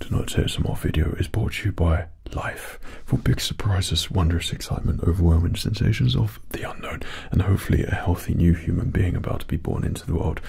Tonight's more video is brought to you by Life for big surprises, wondrous excitement, overwhelming sensations of the unknown, and hopefully a healthy new human being about to be born into the world.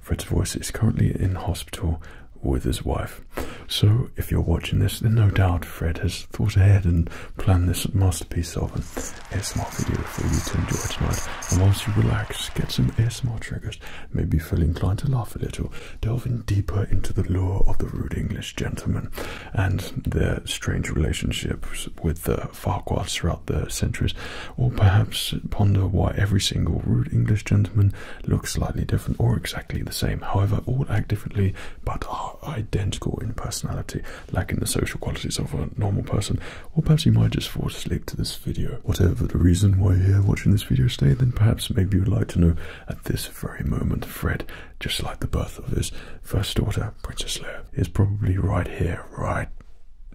Fred's voice is currently in hospital with his wife. So, if you're watching this, then no doubt Fred has thought ahead and planned this masterpiece of him. ASMR video for you to enjoy tonight. And once you relax, get some ASMR triggers, maybe feel inclined to laugh a little, delving deeper into the lore of the rude English gentleman and their strange relationships with the Farquhards throughout the centuries, or perhaps ponder why every single rude English gentleman looks slightly different or exactly the same. However, all act differently but are identical in personality, lacking the social qualities of a normal person, or perhaps he might just fall asleep to this video. Whatever the reason why you're watching this video today, then perhaps maybe you'd like to know at this very moment, Fred, just like the birth of his first daughter, Princess Leia, is probably right here, right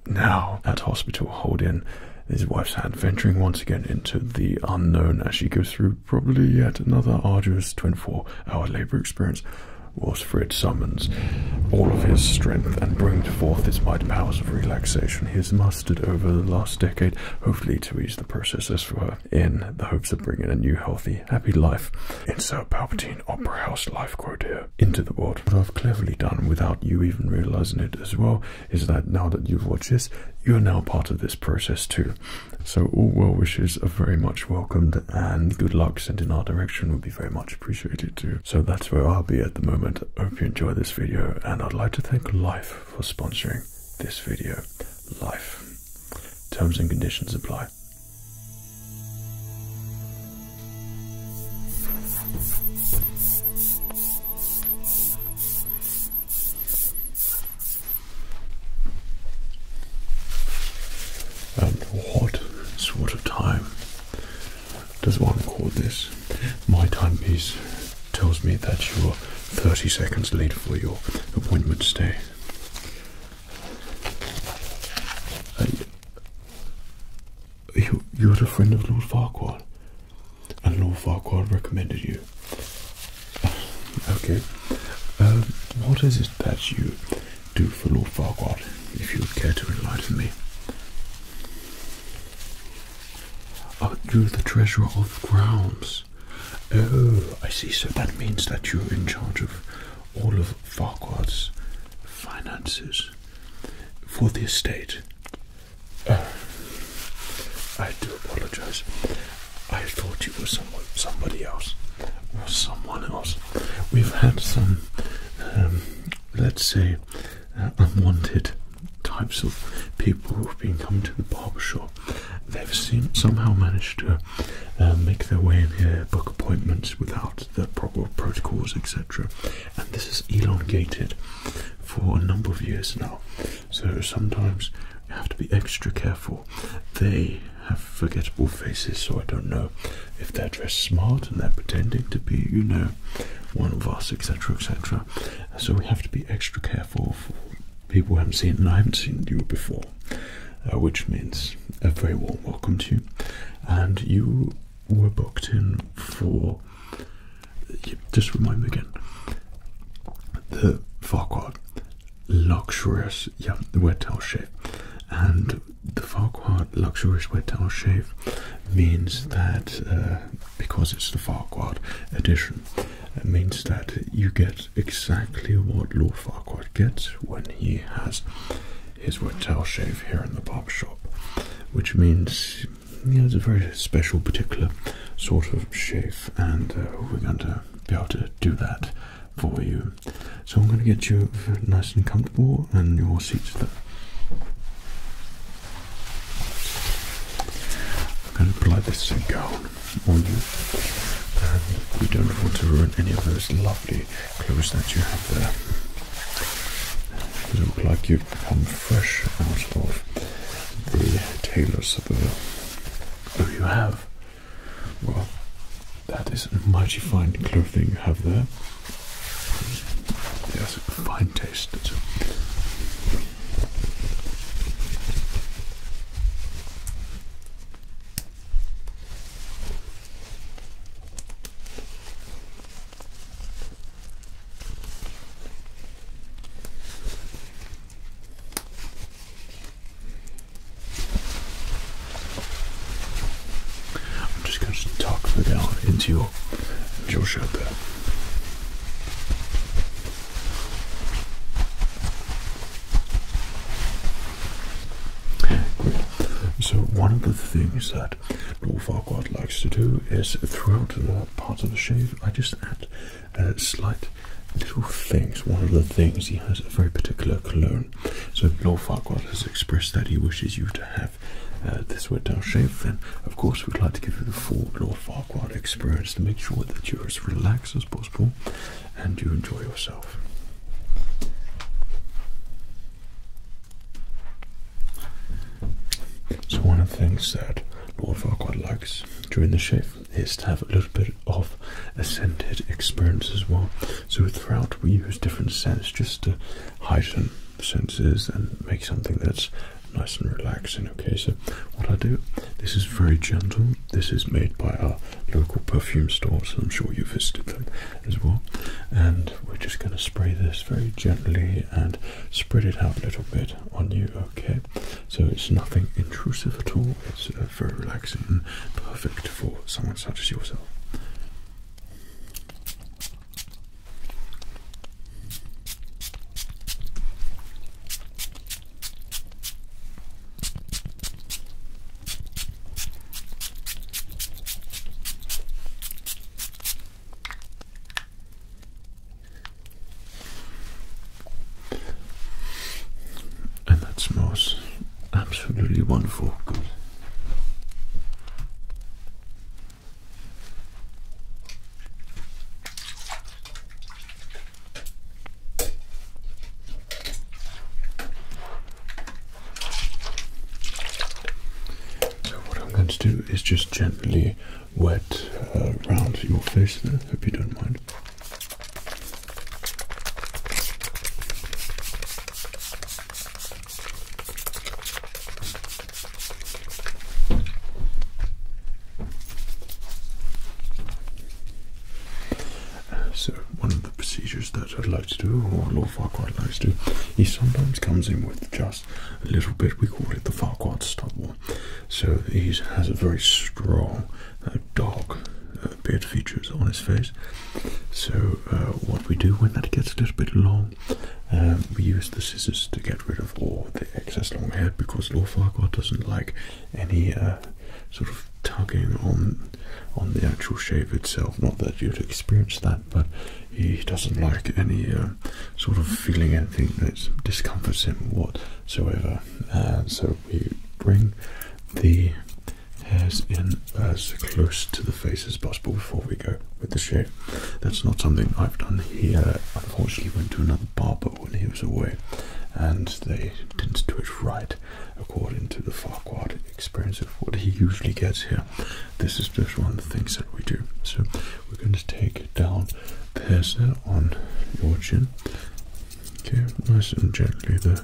now, at hospital, holding his wife's hand, venturing once again into the unknown as she goes through probably yet another arduous 24 hour labor experience was Fred summons all of his strength and brought forth his mighty powers of relaxation he has mustered over the last decade, hopefully to ease the processes for her, in the hopes of bringing a new, healthy, happy life. Insert Palpatine Opera House life quote into the world. What I've cleverly done without you even realizing it as well is that now that you've watched this, you're now part of this process too. So all well wishes are very much welcomed and good luck sent in our direction would be very much appreciated too. So that's where I'll be at the moment. Hope you enjoy this video and I'd like to thank Life for sponsoring this video. Life. Terms and conditions apply um, what sort of time does one call this? My timepiece tells me that you are 30 seconds late for your appointment today. Uh, you, you're the friend of Lord Farquhar, and Lord Farquhar recommended you. Okay. Um, what is it that you do for Lord Farquhar, if you would care to enlighten me. Oh, you're the treasurer of grounds. Oh, I see. So that means that you're in charge of all of Farquhar's finances for the estate. Oh, I do apologize. I thought you were somebody else, or someone else. We've had some, um, let's say, uh, unwanted types of people who've been coming to the barber shop. They've somehow managed to uh, make their way in here, book appointments without the proper protocols, etc. And this is elongated for a number of years now. So sometimes you have to be extra careful. They have forgettable faces, so I don't know if they're dressed smart and they're pretending to be, you know, one of us, etc., etc. So we have to be extra careful for people who haven't seen, and I haven't seen you before, uh, which means a very warm welcome to you. And you were booked in for. Just remind me again. The Farquhar luxurious, wet towel shave. And the Farquhar luxurious wet towel shave means that uh, because it's the Farquhar edition, it means that you get exactly what Lord Farquhar gets when he has his wet towel shave here in the barber shop, which means you know, it's a very special, particular sort of shave, and uh, we're going to be able to do that for you so I'm going to get you nice and comfortable and your seats there. I'm going to apply this cigar on you. we don't want to ruin any of those lovely clothes that you have there. You look like you've come fresh out of the tailors of oh, the... you have? Well, that is a mighty fine clothing you have there. It a fine taste. I'm just going to tuck the down into your, into your shirt there. Great. So one of the things that Lord Farquaad likes to do is throughout the part of the shave, I just add uh, slight little things. One of the things he has a very particular cologne so if Lord Farquhar has expressed that he wishes you to have uh, this wet down shave, then of course we'd like to give you the full Lord Farquhar experience to make sure that you're as relaxed as possible and you enjoy yourself. So one of the things that Lord Farquhar likes during the shave is to have a little bit of a scented experience as well. So throughout we use different scents just to heighten the senses and make something that's nice and relaxing. Okay, so what I do, this is very gentle. This is made by our local perfume store, so I'm sure you have visited them as well. And we're just going to spray this very gently and spread it out a little bit on you. Okay, so it's nothing intrusive at all. It's uh, very relaxing and perfect for someone such as yourself and that smells absolutely wonderful. Good. So what I'm going to do is just gently wet around uh, your face there. Hope you don't mind. So, one of the procedures that I'd like to do, or Lord Farquhar likes to he sometimes comes in with just a little bit, we call it the Farquhar stop. stubble. So, he has a very strong, uh, dark uh, beard features on his face. So uh, what we do when that gets a little bit long, um, we use the scissors to get rid of all the excess long hair because Lorfarquhar doesn't like any uh, sort of tugging on on the actual shave itself. Not that you'd experience that, but he doesn't like any uh, sort of feeling anything that discomforts him whatsoever. so we bring the hairs in as close to the face as possible before we go with the shave. That's not something I've done here. Unfortunately, went to another barber when he was away, and they didn't do it right according to the Farquhar experience of what he usually gets here. This is just one of the things that we do. So we're going to take down the hairs there on your chin. Okay, nice and gently there.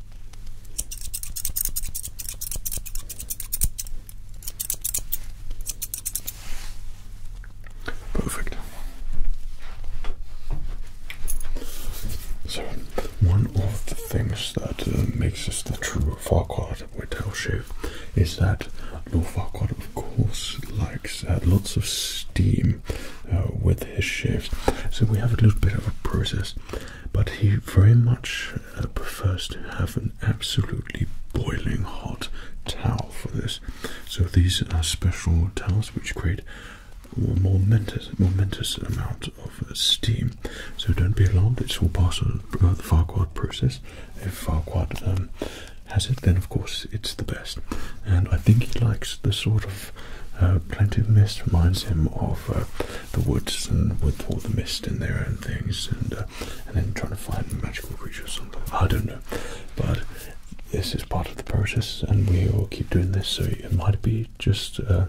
Perfect. So, one of the things that uh, makes us the true Farquaad Whitetail Shave is that Lord Farquaad, of course, likes uh, lots of steam uh, with his shaves. So, we have a little bit of a process but he very much uh, prefers to have an absolutely boiling hot towel for this. So these are special towels which create a momentous, momentous amount of uh, steam. So don't be alarmed, it's all part of uh, the Farquhar process. If Farquhar um, has it, then of course it's the best. And I think he likes the sort of uh, mist reminds him of the woods and with all the mist in there and things, and uh, and then trying to find magical creatures. I don't know, but this is part of the process, and we will keep doing this. So it might be just uh, a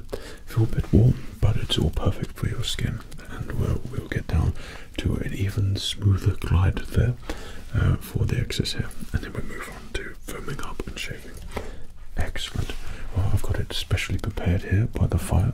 little bit warm, but it's all perfect for your skin, and we'll get down to an even smoother glide there uh, for the excess hair, and then we move on to foaming up and shaving. Excellent. Well, I've got it specially prepared here by the fire.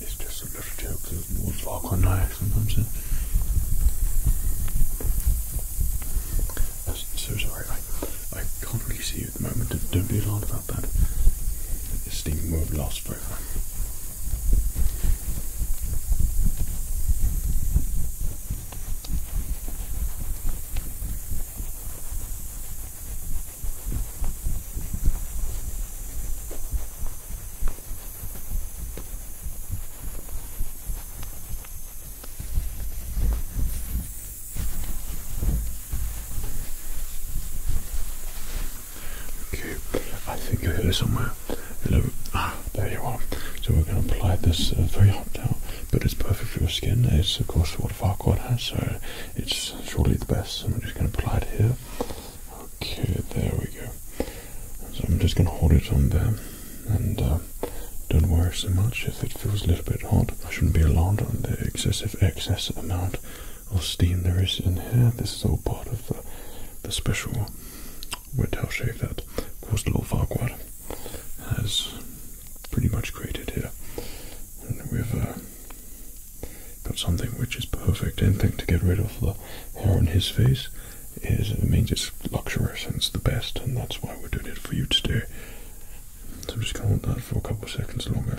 It's just a little joke because the walls are sometimes. I'm so sorry, I, I can't really see you at the moment. Don't be alarmed about that. It's the more of the last forever. Okay, I think you're here somewhere. Hello. Ah, there you are. So we're going to apply this uh, very hot now, but it's perfect for your skin. It's of course what Farquaad has, so it's surely the best. So I'm just going to apply it here. Okay, there we go. So I'm just going to hold it on there, and uh, don't worry so much if it feels a little bit hot. I shouldn't be alarmed on the excessive excess amount of steam there is in here. This is all part of the, the special we're going to shave that of course. Costello Farquhar has pretty much created here. And we've uh, got something which is perfect. Anything to get rid of the hair on his face is it means it's luxurious and it's the best, and that's why we're doing it for you today. So we're just gonna hold that for a couple of seconds longer.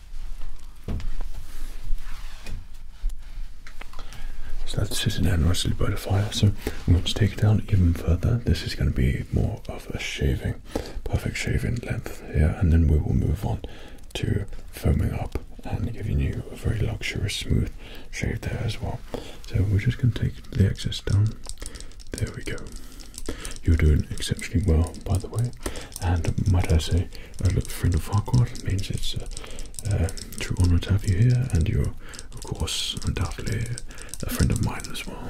So that's sitting down nicely by the fire. So I'm going to take it down even further. This is going to be more of a shaving, perfect shaving length here, and then we will move on to foaming up and giving you a very luxurious smooth shave there as well. So we're just going to take the excess down. There we go. You're doing exceptionally well, by the way, and might I say, a friend of Farquhar. means it's a uh, um, true honour to have you here, and you're, of course, undoubtedly a friend of mine as well.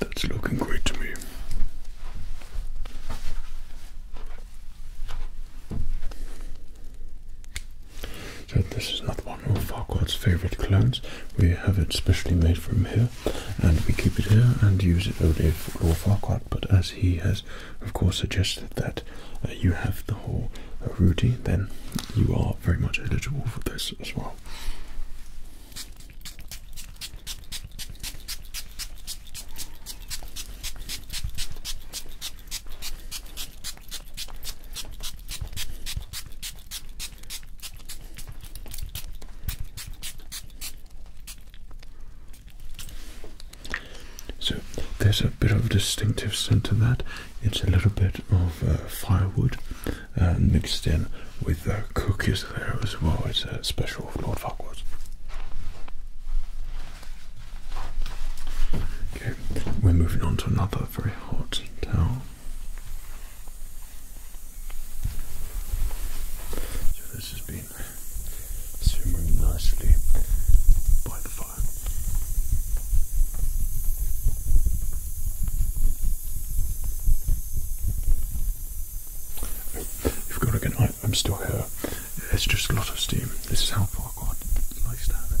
That's looking great to me. So this is not one of Farquaad's favourite clones. We have it specially made from here, and we keep it here and use it only for Lord But as he has, of course, suggested that uh, you have the whole uh, Rudy, then you are very much eligible for this as well. So there's a bit of distinctive scent to that. It's a little bit of uh, firewood uh, mixed in with cookies there as well. It's a special of Lord Farquhar's. Okay, we're moving on to another very hot town. So this has been simmering nicely by the fire. You've got to I, I'm still here. It's just a lot of steam. This is how far God likes to have it.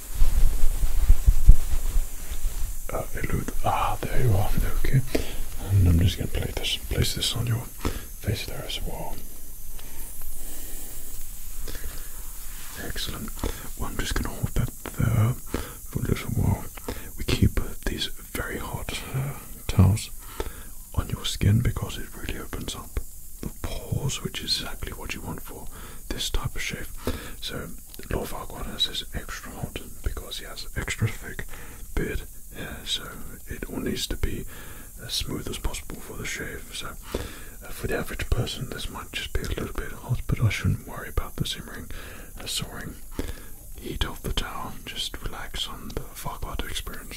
elude. Ah, there you are. Okay. And I'm just going to play this, place this on your face there as Excellent. Well, I'm just going to hold that there for a little while. We keep these very hot uh, towels on your skin because it really opens up the pores, which is exactly what you want for this type of shave. So the Farquaad has his extra hot because he has extra thick beard so it all needs to be as smooth as possible for the shave. So, uh, for the average person, this might just be a little bit hot, but I shouldn't worry about the simmering, uh, soaring heat of the towel. Just relax on the Farquaad experience.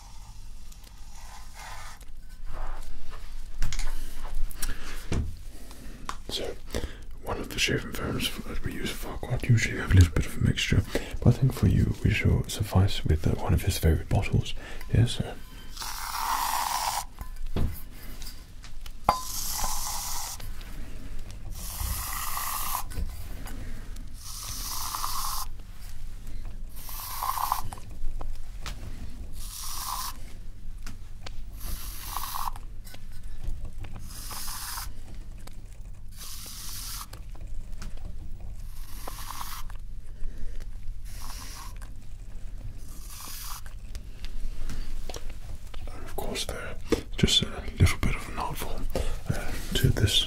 So, one of the shaving foams that we use for quite usually have a little bit of a mixture, but I think for you we shall suffice with uh, one of his favourite bottles. Yes, sir of course, there uh, just a little bit of an artful uh, to this.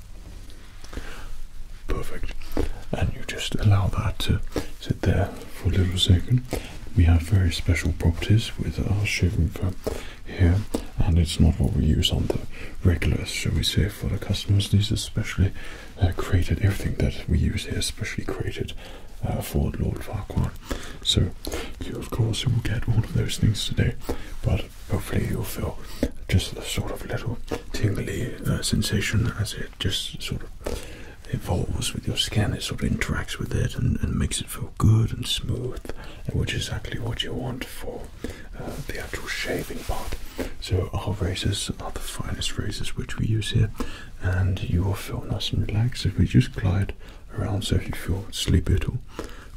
Perfect. And you just allow that to sit there for a little second. We have very special properties with our shaving foam here, and it's not what we use on the regulars, shall we say, for the customers. These are specially uh, created, everything that we use here is specially created uh, for Lord Farquhar. So, you, of course, you will get all of those things today, but hopefully you'll feel just a sort of little tingly sensation as it just sort of evolves with your skin. It sort of interacts with it and, makes it feel good and smooth, which is exactly what you want for uh, the actual shaving part. So our razors are the finest razors which we use here, and you will feel nice and relaxed if we just glide around. So if you feel sleepy at all,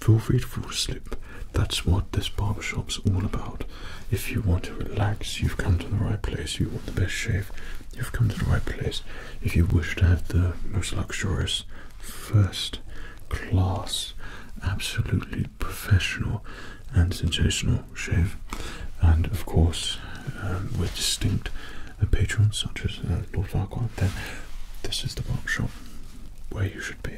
feel free to fall asleep that's what this barbershop's all about. If you want to relax, you've come to the right place. You want the best shave, you've come to the right place. If you wish to have the most luxurious, first class, absolutely professional and sensational shave, and of course, um, with distinct patrons such as uh, Lord Farquhar, then this is the barbershop where you should be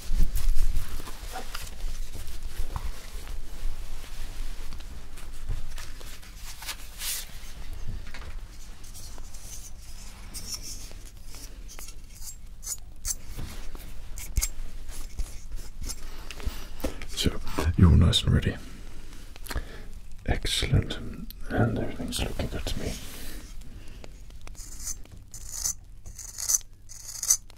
So you're all nice and ready. Excellent, and everything's looking good to me.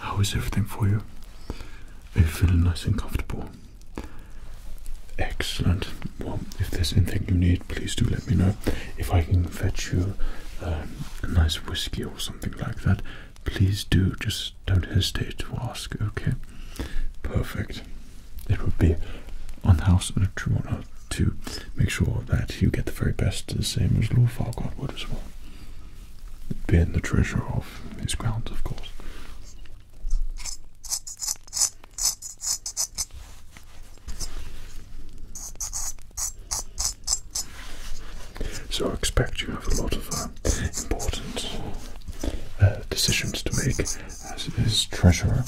How is everything for you? I feel nice and comfortable? Excellent. Well, if there's anything you need, please do let me know. If I can fetch you um, a nice whiskey or something like that, please do. Just don't hesitate to ask, okay? Perfect. It would be on the house and a honor to make sure that you get the very best, the same as Lord Farquhar would as well being the treasurer of his grounds, of course. So I expect you have a lot of uh, important uh, decisions to make as treasurer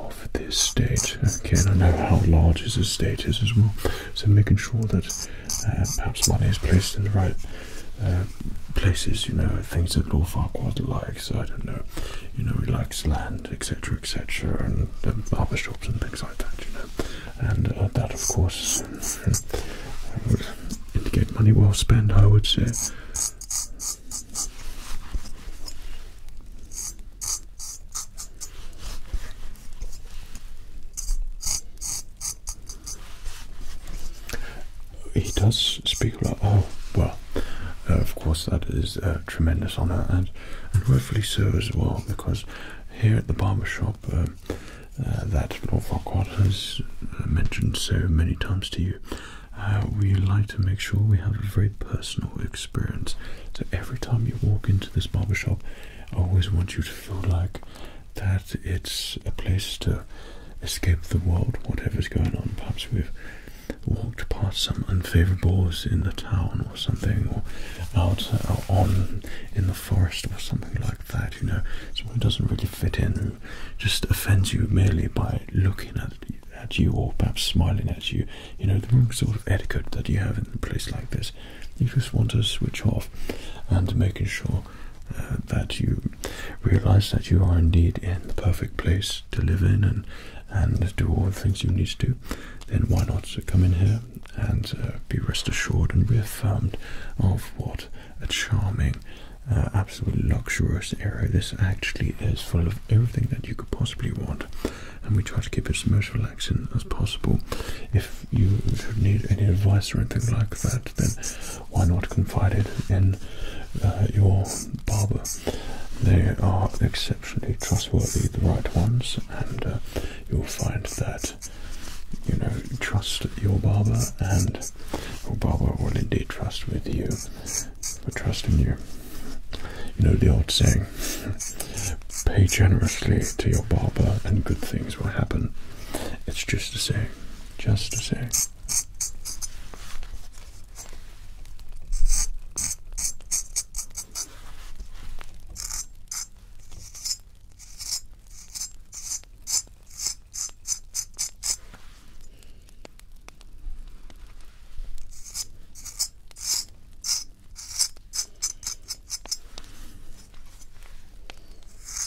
of this state. Okay, and I know how large this state is as well. So making sure that uh, perhaps money is placed in the right um, places, you know, things that Lord Farquaad likes. I don't know, you know, he likes land, etc., etc., and um, barber shops and things like that, you know. And uh, that, of course, would um, indicate money well spent, I would say. He does speak a lot. Oh, well, uh, of course, that is a tremendous honor and, and rightfully so as well, because here at the barber shop, uh, uh, that Lord Farquhar has mentioned so many times to you, we like to make sure we have a very personal experience. So every time you walk into this barber shop, I always want you to feel like that it's a place to escape the world, whatever's going on. Perhaps we've walked past some unfavorables in the town or something, or out uh, on in the forest or something like that, you know, someone who doesn't really fit in, just offends you merely by looking at at you or perhaps smiling at you, you know, the sort of etiquette that you have in a place like this. You just want to switch off and making sure uh, that you realize that you are indeed in the perfect place to live in and and do all the things you need to do, then why not come in here and uh, be rest assured and reaffirmed of what a charming, uh, absolutely luxurious area this actually is, full of everything that you could possibly want. And we try to keep it as most relaxing as possible. If you need any advice or anything like that, then why not confide it in uh, your barber? They are exceptionally trustworthy, the right ones, and uh, you'll find that you know trust your barber, and your barber will indeed trust with you Trust in you. You know the old saying: pay generously to your barber, and good things will happen. It's just a saying just a sec.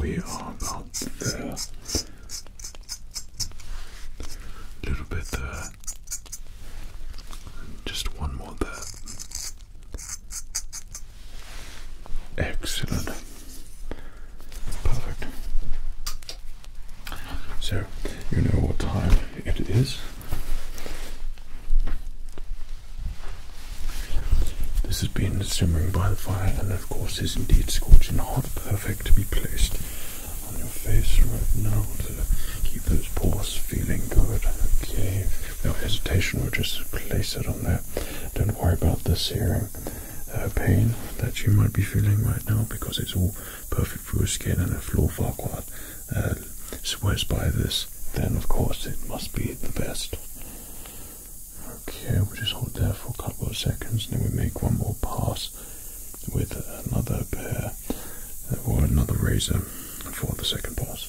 we are about there. A little bit there. just one more there. Excellent. Perfect. So, you know what time it is? This has been simmering by the fire and of course is indeed scorching hot, perfect to be placed on your face right now to keep those pores feeling good. Okay, no hesitation, we'll just place it on there. Don't worry about the searing uh, pain that you might be feeling right now because it's all perfect for your skin and if Lord Farquaad So, uh, swears by this, then of course it must be the best. Okay, we'll just hold there for a couple of seconds and then we make one more pass with another pair or another razor for the second pass.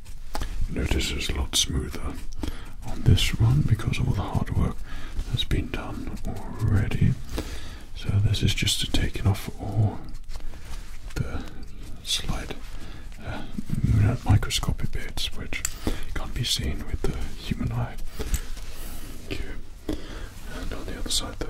Notice it's a lot smoother on this one because all the hard work has been done already. So this is just to take off all the slight uh, microscopic bits which can't be seen with the human eye. And on the other side there.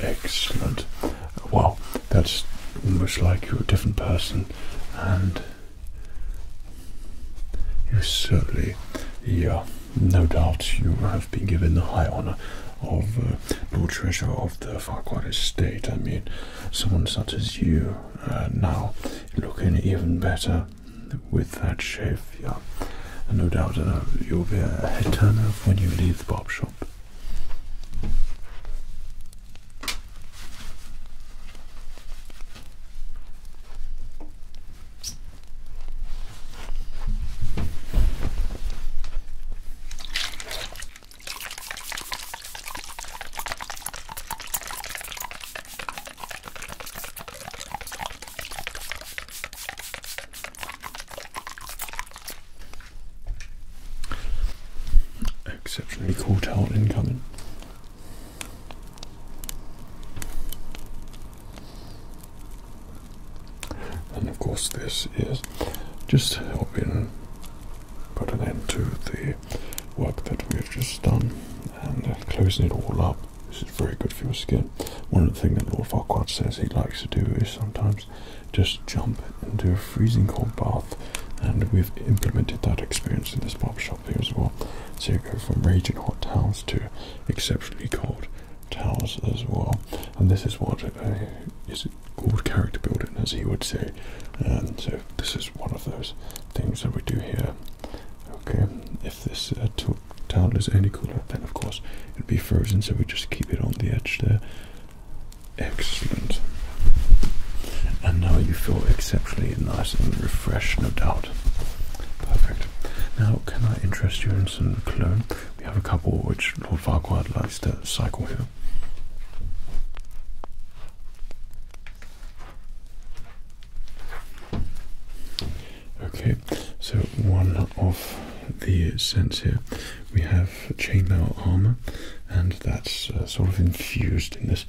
Excellent. Well, that's almost like you're a different person, and you certainly, yeah, no doubt you have been given the high honour of uh, Lord Treasurer of the Farquhar Estate. I mean, someone such as you uh, now looking even better with that shave no doubt uh, you'll be a head turner when you leave the barb shop. Exceptionally cool towel coming, And of course, this is just helping put an end to the work that we have just done and closing it all up this is very good for your skin. One of the things that Lord Farquaad says he likes to do is sometimes just jump into a freezing cold bath, and we've implemented that experience in this barber shop here as well. So you go from raging hot towels to exceptionally cold towels as well. And this is what uh, is called character building, as he would say. And so this is one of those things that we do here. Okay, if this uh, tool towel is any cooler, then of course it'd be frozen, so we just keep it on the edge there. Excellent. And now you feel exceptionally nice and refreshed, no doubt. Perfect. Now, can I interest you in some cologne? We have a couple which Lord Farquhar likes to cycle here. Okay, so one of the scents here we have chainmail armor, and that's uh, sort of infused in this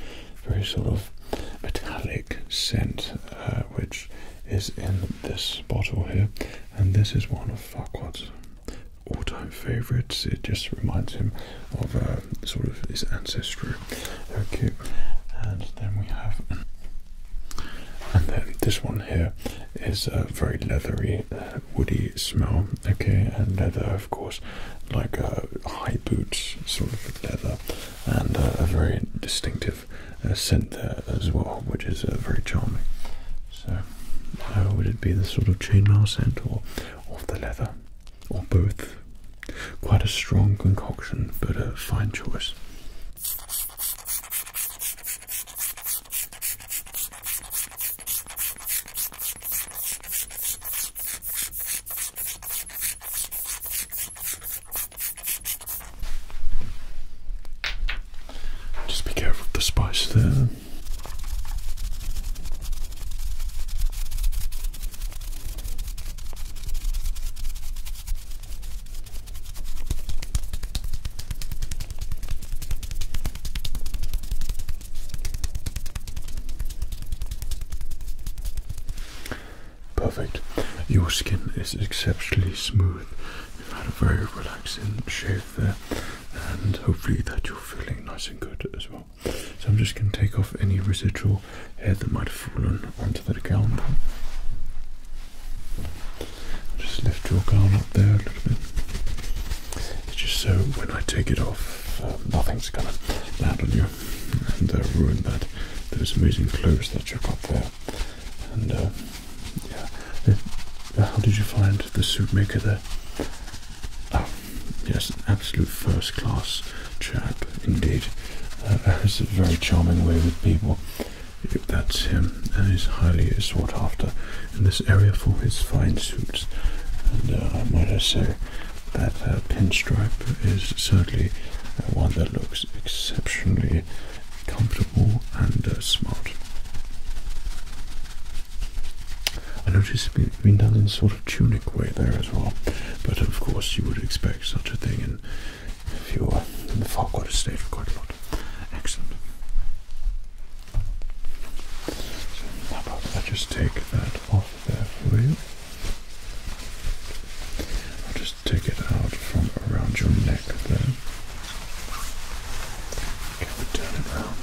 very sort of metallic scent, uh, which is in this bottle here. And this is one of Farquaad's all-time favorites. It just reminds him of um, sort of his ancestry. Okay, and then we have and then this one here is a very leathery, uh, woody smell. Okay, and leather, of course, like uh, high boots, sort of leather, and uh, a very distinctive uh, scent there as well, which is very charming. So, would it be the sort of chainmail scent or of the leather, or both? Quite a strong concoction, but a fine choice. Just be careful of the spice there. Perfect. Your skin is exceptionally smooth. You've had a very relaxing shave there, and hopefully that you're feeling nice and good as well. So I'm just going to take off any residual hair that might have fallen onto just lift your gown up there a little bit. just so when I take it off, um, nothing's gonna land on you and uh, ruin that those amazing clothes that you've got there. And uh, yeah, uh, how did you find the suitmaker there? Oh, yes, an absolute first class chap indeed. Uh, a very charming way with people. That's him, and he's highly sought after in this area for his fine suits. And uh, I might as say that uh, pinstripe is certainly uh, one that looks exceptionally comfortable and uh, smart. I notice it's been done in sort of tunic way there as well, but of course you would expect such a thing in if you are in the far quarter stage quite a lot. Excellent. So how about I just take that off there for you? I'll just take it out from around your neck there. turn it around.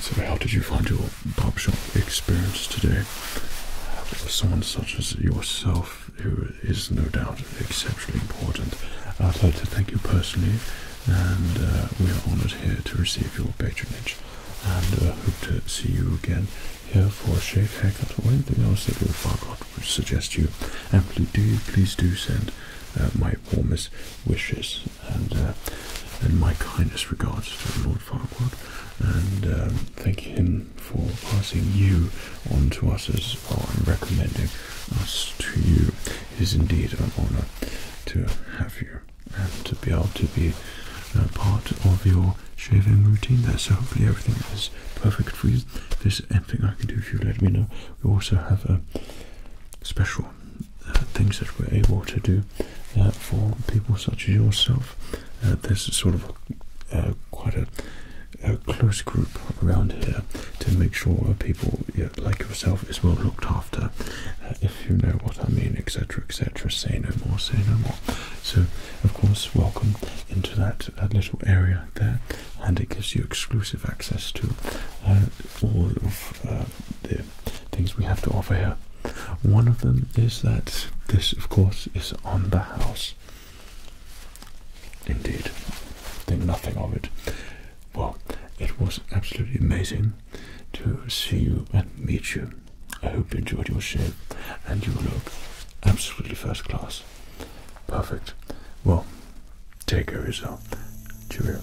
So, how did you find your barber shop experience today? For someone such as yourself, who is no doubt exceptionally important, I'd like to thank you personally, and uh, we are honoured here to receive your patronage, and uh, hope to see you again here for a shave haircut or anything else that Lord Farquhar would suggest you, amply do please do send uh, my warmest wishes and uh, and my kindest regards to Lord Farquhar, and um, thank him for passing you on to us as well and recommending us to you. is indeed an honour to have you and to be able to be uh, part of your shaving routine there. So hopefully everything is perfect for you. There's anything I can do If you, let me know. We also have uh, special things that we're able to do uh, for people such as yourself. Uh, there's sort of quite a, close group around here to make sure people like yourself is well looked after, if you know what I mean, etc. etc. Say no more, say no more. So, of course, welcome into that, that little area there, and it gives you exclusive access to uh, all of uh, the things we have to offer here. One of them is that this, of course, is on the house. Indeed, think nothing of it. Well, it was absolutely amazing to see you and meet you. I hope you enjoyed your shave and you look absolutely first class. Perfect. Well, take care of yourself. Cheerio.